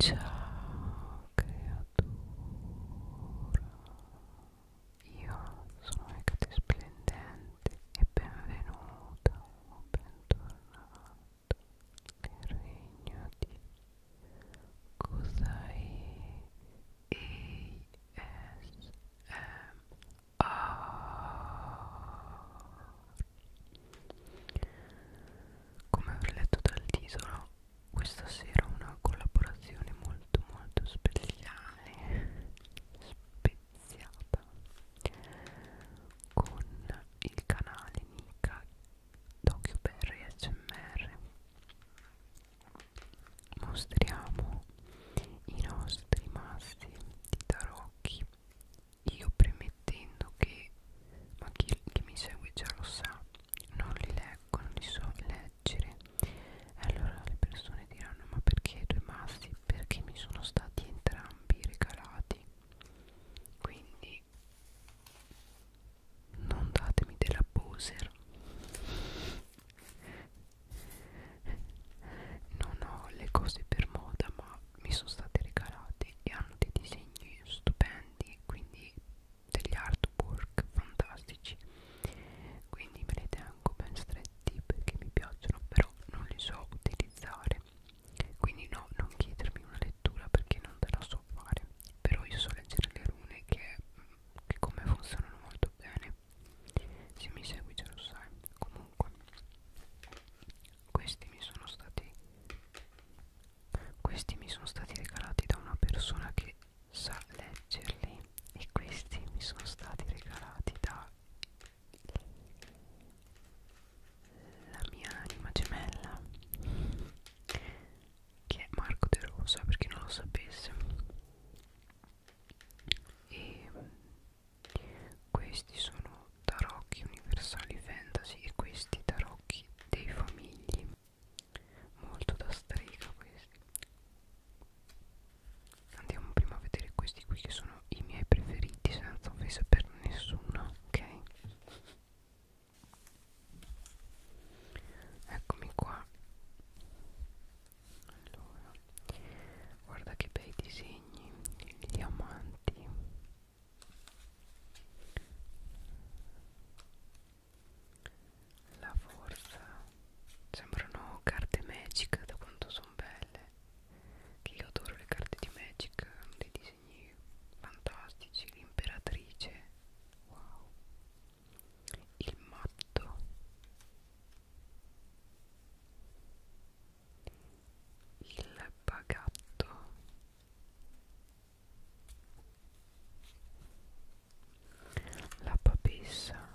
Ciao creatura, io sono Ecate e benvenuta o bentornata nel regno di Kusai come avrei letto dal titolo questa sera una collaborazione molto molto speciale speziata con il canale Nika DocuBerry SMR mostriamo i nostri massi di tarocchi io premettendo che ma chi, chi mi segue già lo sa non li leggo, non li so leggere allora le persone diranno ma perché due massi? perché mi sono stati entrambi regalati quindi non datemi della poser non ho le cose per moda ma mi sono stati regalati e hanno dei disegni stupendi quindi degli artwork fantastici quindi me li tengo ben stretti perché mi piacciono però non li so utilizzare quindi no non chiedermi una lettura perché non te la so fare però io so leggere le rune che, che come funzionano molto bene se mi segui già lo sai comunque questi mi sono stati Questi mi sono stati regalati da una persona che sa leggerli e questi mi sono stati regalati da la mia anima gemella che è Marco De Rosa per chi non lo sapesse e questi sono tarocchi universali fantasy e questi tarocchi dei famigli molto da strega questi andiamo prima a vedere questi qui che sono i miei preferiti senza offesa per nessuno ok eccomi qua allora guarda che bei disegni i diamanti la forza sembrano carte magic da quanto sono belle. Che io adoro le carte di magic, hanno dei disegni fantastici. L'imperatrice, wow, il matto il bagatto la papessa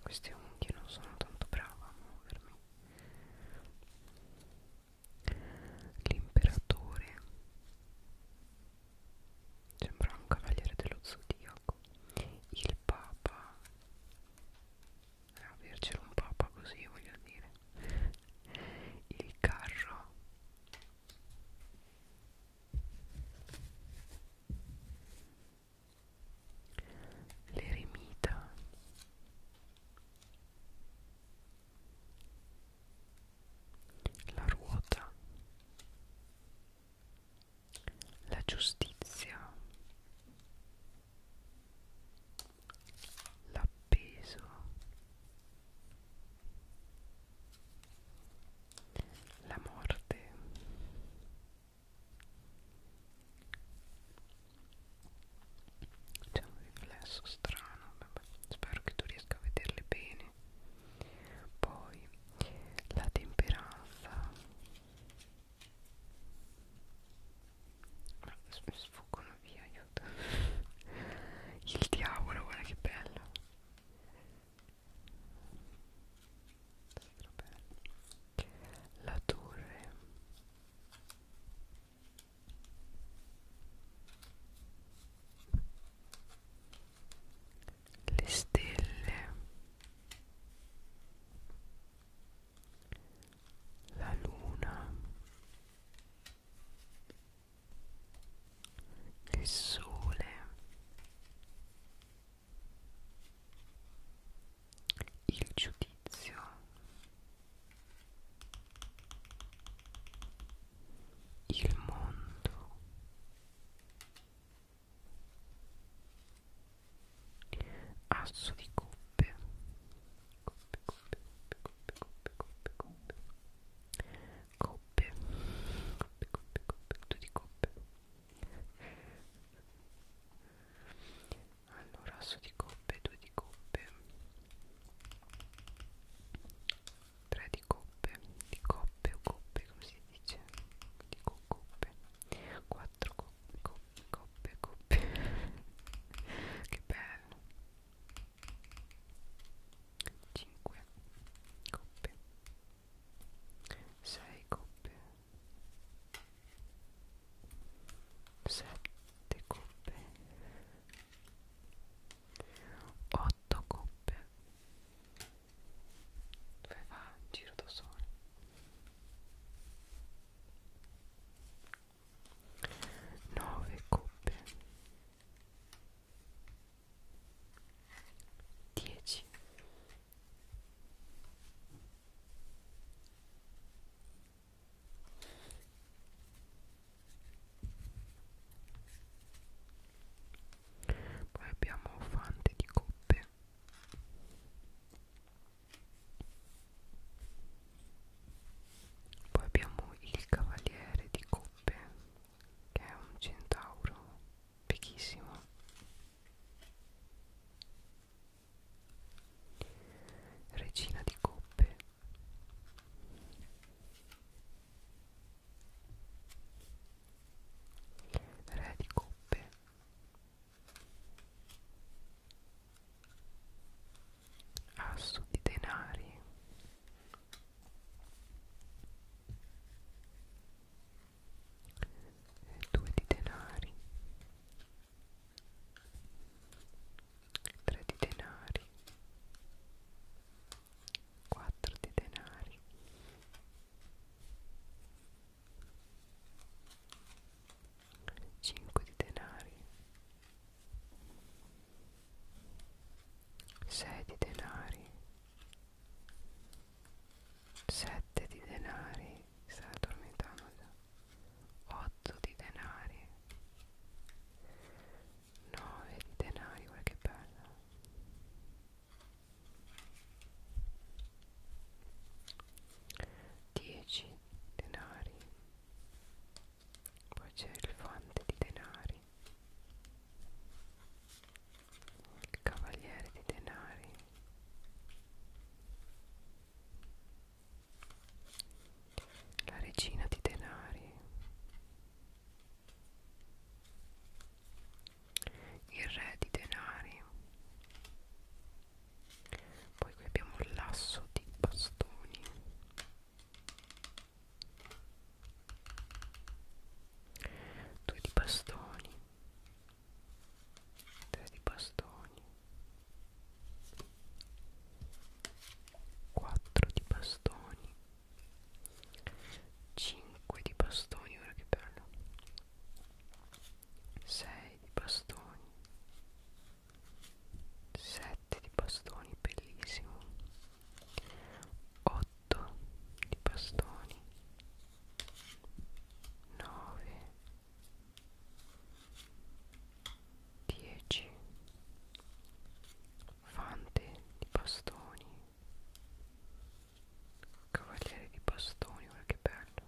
queste unghie non sono tanto brava a muovermi l'imperatore sembra un cavaliere dello zodiaco il papa Ah, avercelo un papa così voglio dire il carro l'eremita la ruota la giustizia l'appeso la morte c'è un riflesso strano vabbè. spero che tu riesca a vederle bene poi la temperanza ma mi sfuggono via, aiuto. Il diavolo, guarda che bello. La torre. Le stelle la luna, il sole, il giudizio, il mondo asso di coppe coppe coppe coppe coppe coppe coppe coppe coppe coppe coppe tutto di coppe allora asso di coppe due di coppe tre di coppe di coppe o coppe come si dice di coppe quattro coppe coppe, coppe, coppe, coppe. che bello. 5 coppe. 6 coppe. 7 coppe. 8 coppe. Dove va? Giro da sole. 9 coppe 10 poi abbiamo fante di coppe poi abbiamo il cavaliere di coppe che è un centauro vecchissimo regina di coppe re di coppe asso di denari e due di denari tre di denari quattro di denari 5 di denari 6 di denari 7 di denari sta addormentando già 8 di denari 9 di denari guarda che bella 10 denari poi c'è il fante di denari il cavaliere di denari la regina di denari il re di denari poi qui abbiamo il lasso di bastoni due di bastoni tre di bastoni quattro di bastoni cinque di bastoni ora che bello 6 di bastoni 7 di bastoni bellissimo 8 di bastoni 9 10 fante di bastoni Cavaliere di bastoni, guarda che bello.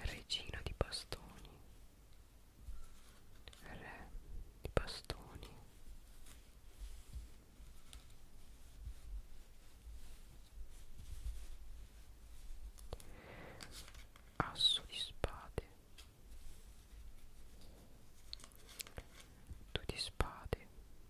Regina di bastoni. Re di bastoni. Asso di spade. Due di spade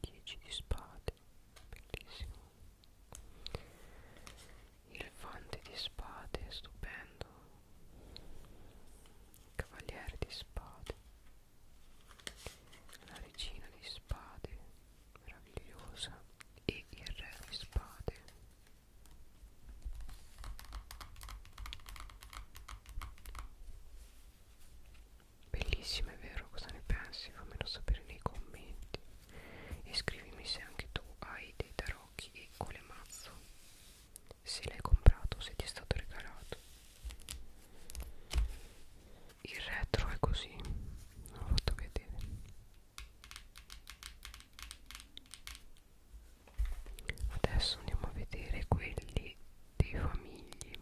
10 di spade bellissimo il fante di spade stupendo cavaliere di spade la regina di spade meravigliosa e il re di spade Bellissima, è vero? Cosa ne pensi? Fammelo sapere nei commenti. E scrivimi se anche tu hai dei tarocchi e colemazzo. Se l'hai comprato, se ti è stato regalato. Il retro è così, l'ho fatto vedere adesso andiamo a vedere quelli dei famigli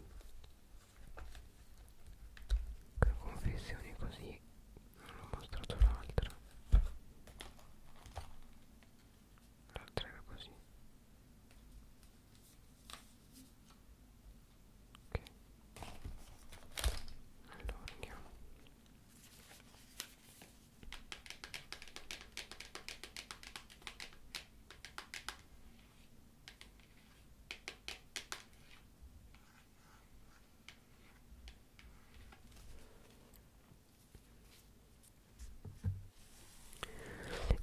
che confezioni così non ho mostrato l'altra l'altra era così ok allora andiamo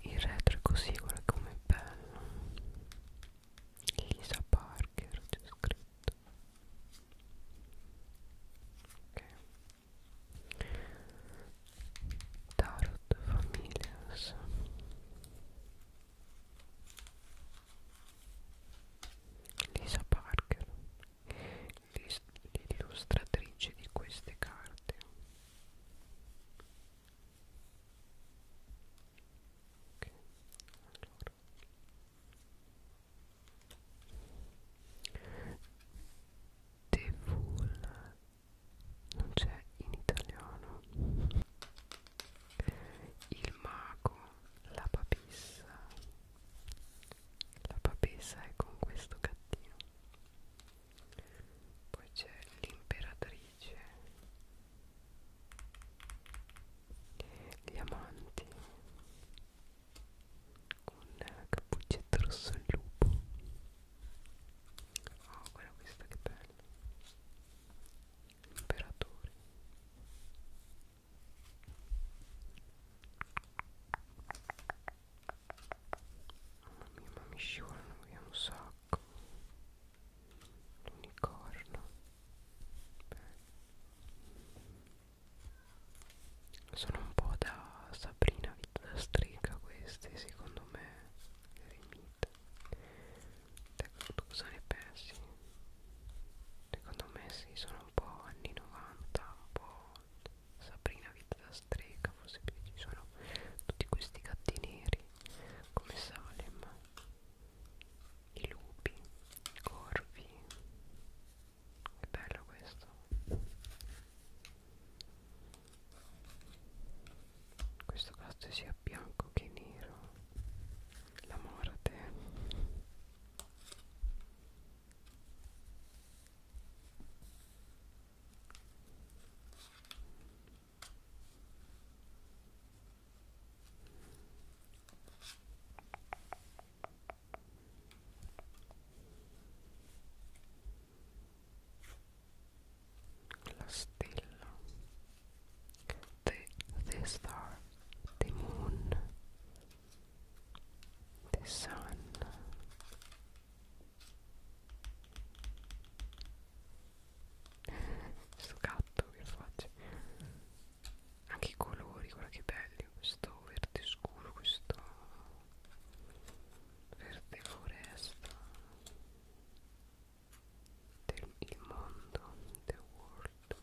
il retro è così, guarda com'è bello. Lisa Parker c'è scritto. Ok. Tarot Familiars Lisa Parker l'illustratrice di queste carte okay. allora. The Full non c'è in italiano il mago la papessa la papessa è con questo gattino poi c'è l'imperatrice gli amanti con cappuccetto rosso al lupo oh guarda questa che bella imperatore mamma mia ma mi scivolano via un sacco l'unicorno sono un po' da Sabrina da strega questi secondo me Remit ecco tu cosa ne pensi? secondo me sì sono un po' anni 90 un po' Sabrina vita da strega forse più ci sono tutti questi gatti neri come Salem i lupi, i corvi che bello questo Questo caso sia bianco che nero La morte la stella The, the star The moon The sun Questo gatto che faccio Anche i colori, guarda che belli Questo verde scuro, questo verde foresta del mundo the world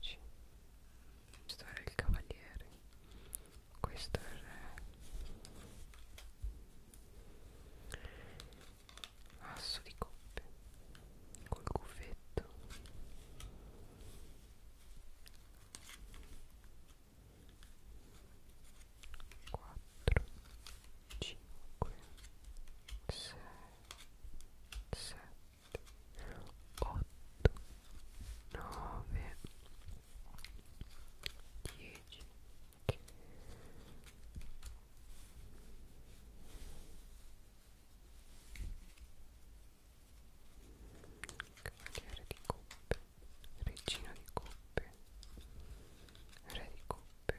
10 questo era il cavaliere questo è il re asso di coppe col cuffetto Quattro 5 6 7 8 9 10 Cavaliere di coppe, regina di coppe, re di coppe,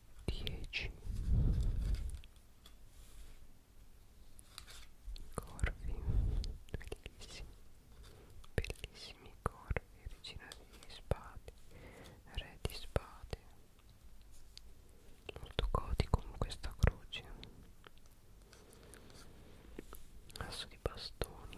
10 corvi bellissimi bellissimi corvi regina di spade re di spade molto gotico con questa croce asso di bastoni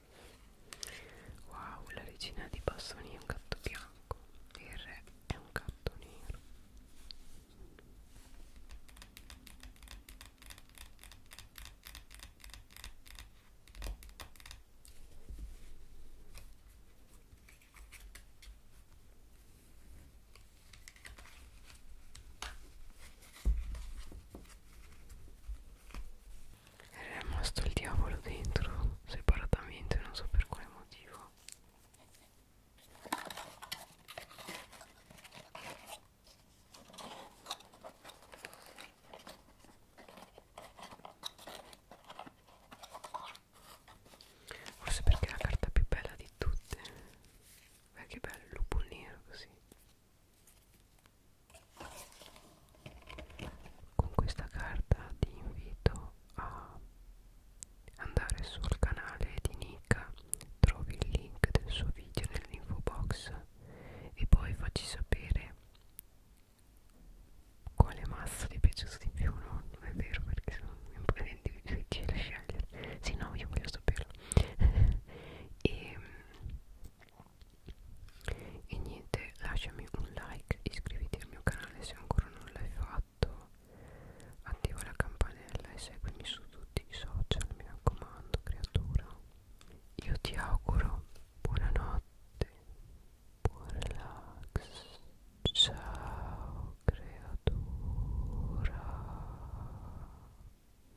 Wow, la regina di bastoni è un gatto bianco e il re è un gatto nero. Era rimasto il diavolo dentro separatamente, non so per quale motivo. Forse perché è la carta più bella di tutte. Beh che bello, lupo nero così. Con questa carta ti invito a andare sul canale di Nika, trovi il link del suo video nell'info box e poi facci sapere quale mazzo ti è piaciuto di più, no? Non è vero perché sono un po' difficile scegliere. Sì, no, io voglio saperlo. e ehm, e niente lasciami un like iscriviti al mio canale se ancora non l'hai fatto attiva la campanella e seguimi su tutti i social mi raccomando creatura io ti auguro buonanotte buon relax ciao creatura